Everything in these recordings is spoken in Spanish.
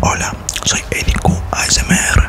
Hola, soy Edicu ASMR.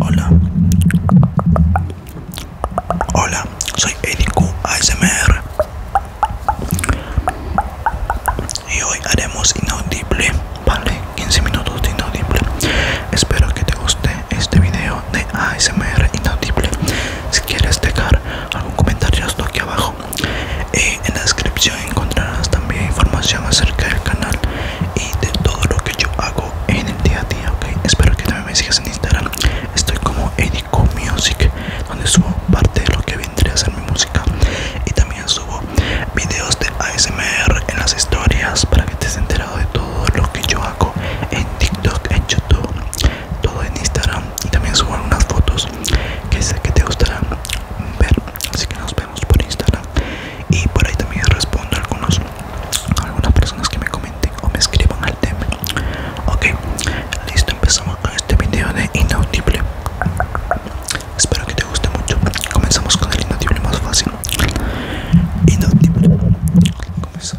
Hola. Hola, soy Edicu ASMR y hoy haremos inaudible vale 15 minutos de inaudible espero que te guste este video de asmr inaudible si quieres dejar algún comentario aquí abajo en la descripción encontrarás también información acerca del canal y de todo lo que yo hago en el día a día ok espero que también me sigas en instagram estoy como edico music donde subo parte de lo que vendría a ser mi música y también subo videos de ASMR en las historias para que estés enterado de todo lo que yo hago en TikTok, en YouTube, todo en Instagram y también subo algunas fotos que sé que te gustarán ver. Así que nos vemos por Instagram y por ahí también respondo algunos a algunas personas que me comenten o me escriban al tema. Ok. Listo, empezamos con este video de inaudible. Espero que te guste mucho. Comenzamos con el inaudible más fácil. Inaudible. Comenzamos.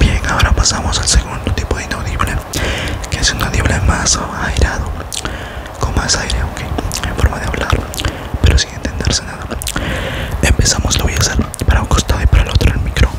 Bien, ahora pasamos al segundo tipo de inaudible, que es un inaudible más airado, con más aire, aunque en forma de hablar, pero sin entenderse nada. Empezamos, lo voy a hacer para un costado y para el otro el micrófono.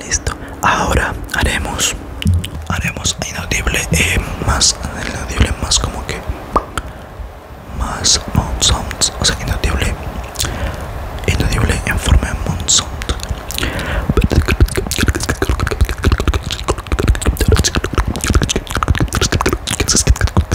Listo. Ahora haremos haremos inaudible eh, más más como que más o sea inaudible inaudible en forma de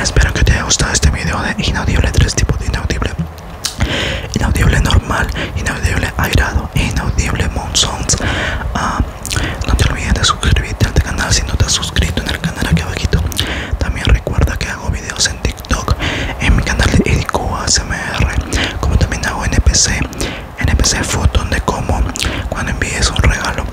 Espero que te haya gustado este video de inaudible, tres tipos de inaudible Inaudible normal, inaudible airado Inaudible Monsons. Ah, no te olvides de suscribirte al canal si no te has suscrito en el canal aquí abajito. También recuerda que hago videos en TikTok, en mi canal de Edico ASMR, como también hago NPC, NPC foto donde como cuando envíes un regalo.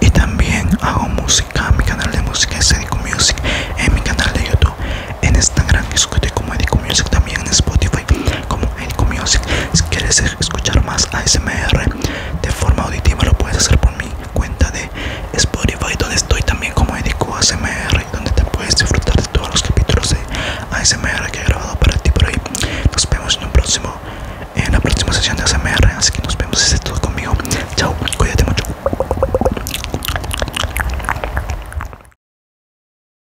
Y también hago música, mi canal de música es Edico Music, en mi canal de YouTube, en Instagram, escute como Edico Music, también en Spotify como Edico Music. Si quieres escuchar más ASMR de forma auditiva, lo puedes hacer por mi cuenta de Spotify, donde estoy también como Edico ASMR, donde te puedes disfrutar de todos los capítulos de ASMR que he grabado para ti por ahí. Nos vemos en un próximo en la próxima sesión de ASMR, así que nos vemos este todo conmigo. Chao, cuídate mucho.